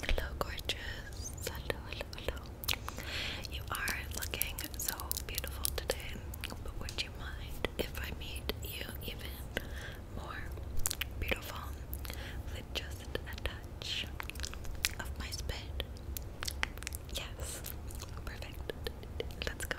Hello, gorgeous. Hello, hello, hello. You are looking so beautiful today, but would you mind if I made you even more beautiful with just a touch of my spit? Yes, perfect. Let's go.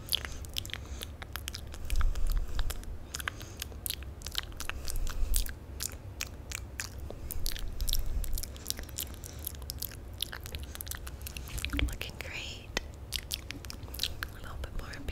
Looking great. A little bit more up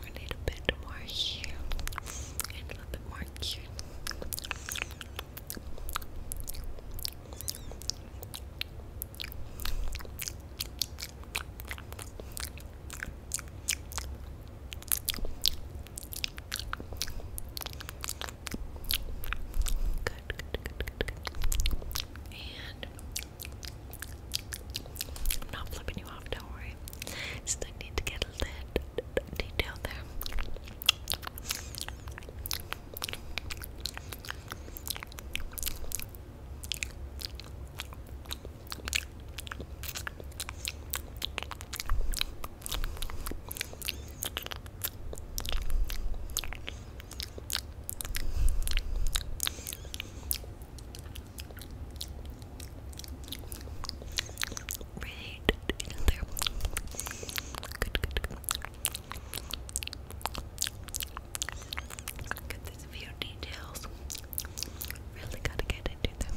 We need a bit more here and a little bit more here. Good, good, good, good, And I'm not flipping you off, don't worry. Just need to get a little detail there. Right in there. Good, good, good. Look these few details. Really gotta get into them.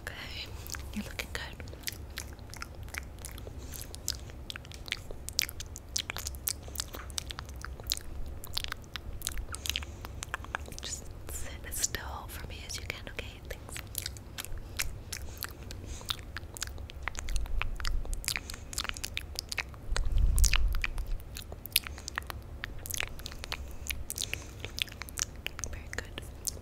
Okay, you're looking good. Just sit still for me as you can, Okay. Very good. Very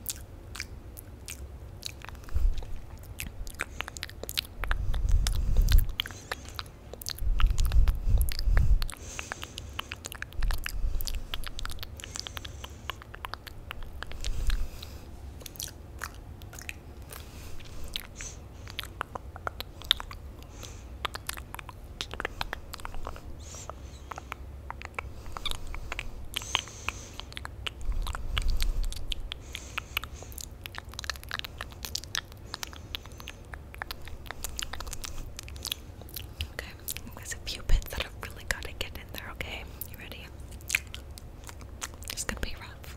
Okay, there's a few bits that i really got to get in there, okay? You ready? It's gonna be rough.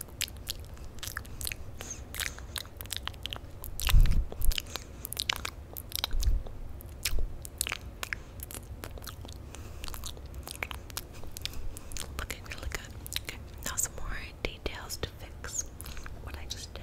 Looking really good. Okay, now some more details to fix what I just did.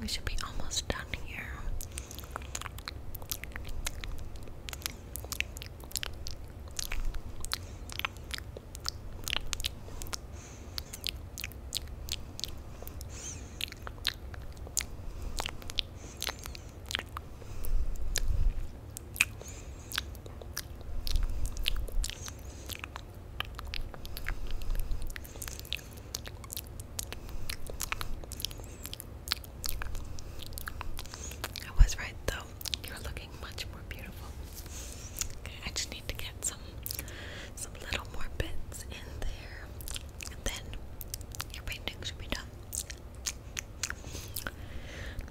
We should be almost done here. I was right though. You're looking much more beautiful. I just need to get some some little more bits in there. And then your painting should be done.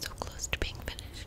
So close to being finished.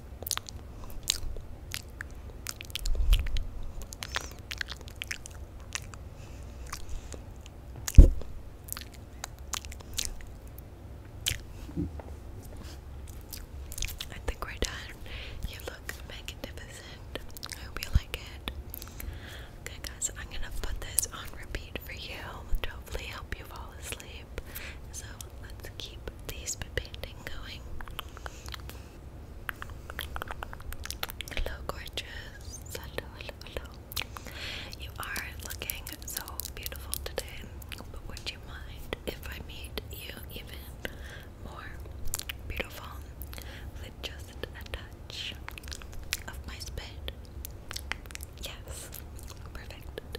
I think we're done. You look magnificent. I hope you like it. Okay, guys, I'm gonna put this on repeat for you hopefully help you fall asleep. So let's keep these painting going. Hello, gorgeous. Hello, hello, You are looking so beautiful today. But would you mind if I made you even more beautiful with just a touch of my spit? Yes, perfect.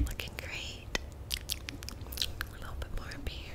Looking great. A little bit more up here.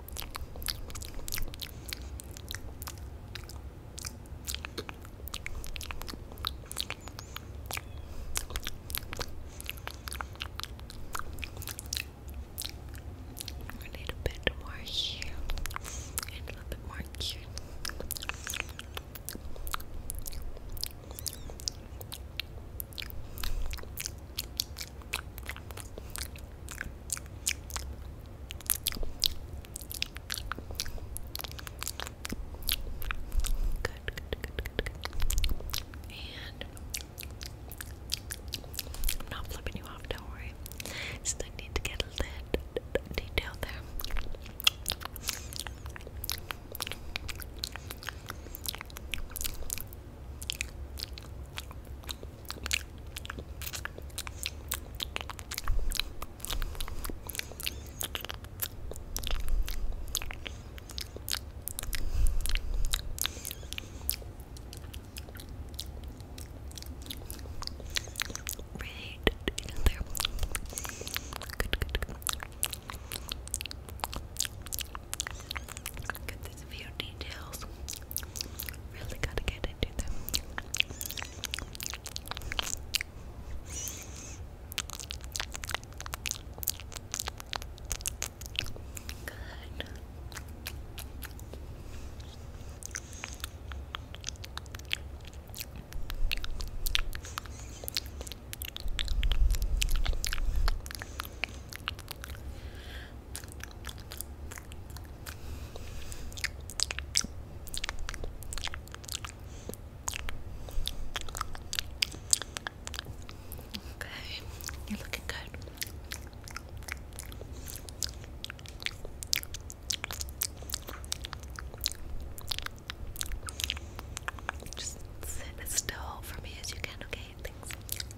A little bit more here, and a little bit more here. Good, good, good, good, And I'm not flipping you off, don't worry. Just need to get a little detail there. Right in there. Good, good, good. Good, there's a few details. Really gotta get into them. Good. Okay, you're looking good. Just sit as still for me as you can, okay? Thanks.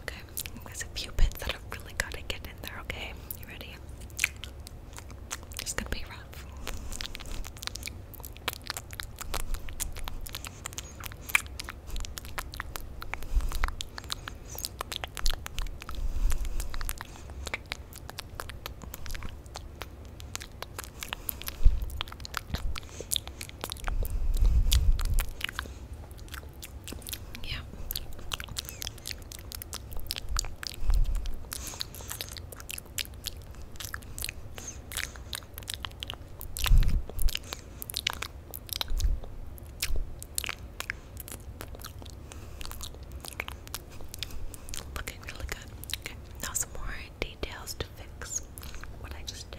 Okay, there's a few bits that i really got to get in there, okay? You ready? It's gonna be rough. Yeah. Looking really good. Okay, now some more details to fix what I just did.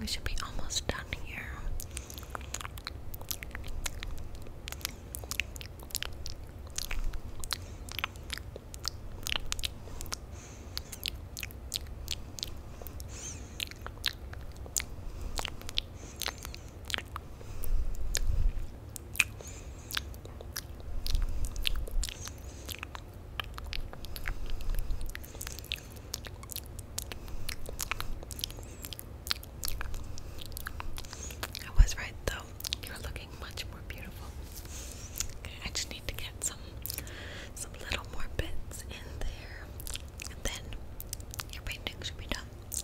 We should be almost done here. I was right though, you're looking much more beautiful. I just need to get some some little more bits in there. And then your painting should be done.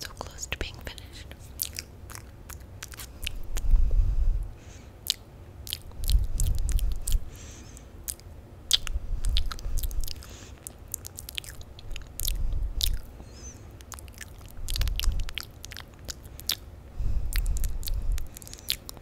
So close to being finished.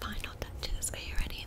Final touches. Are you ready?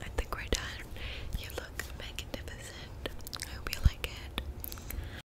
I think we're done. You look magnificent. I hope you like it.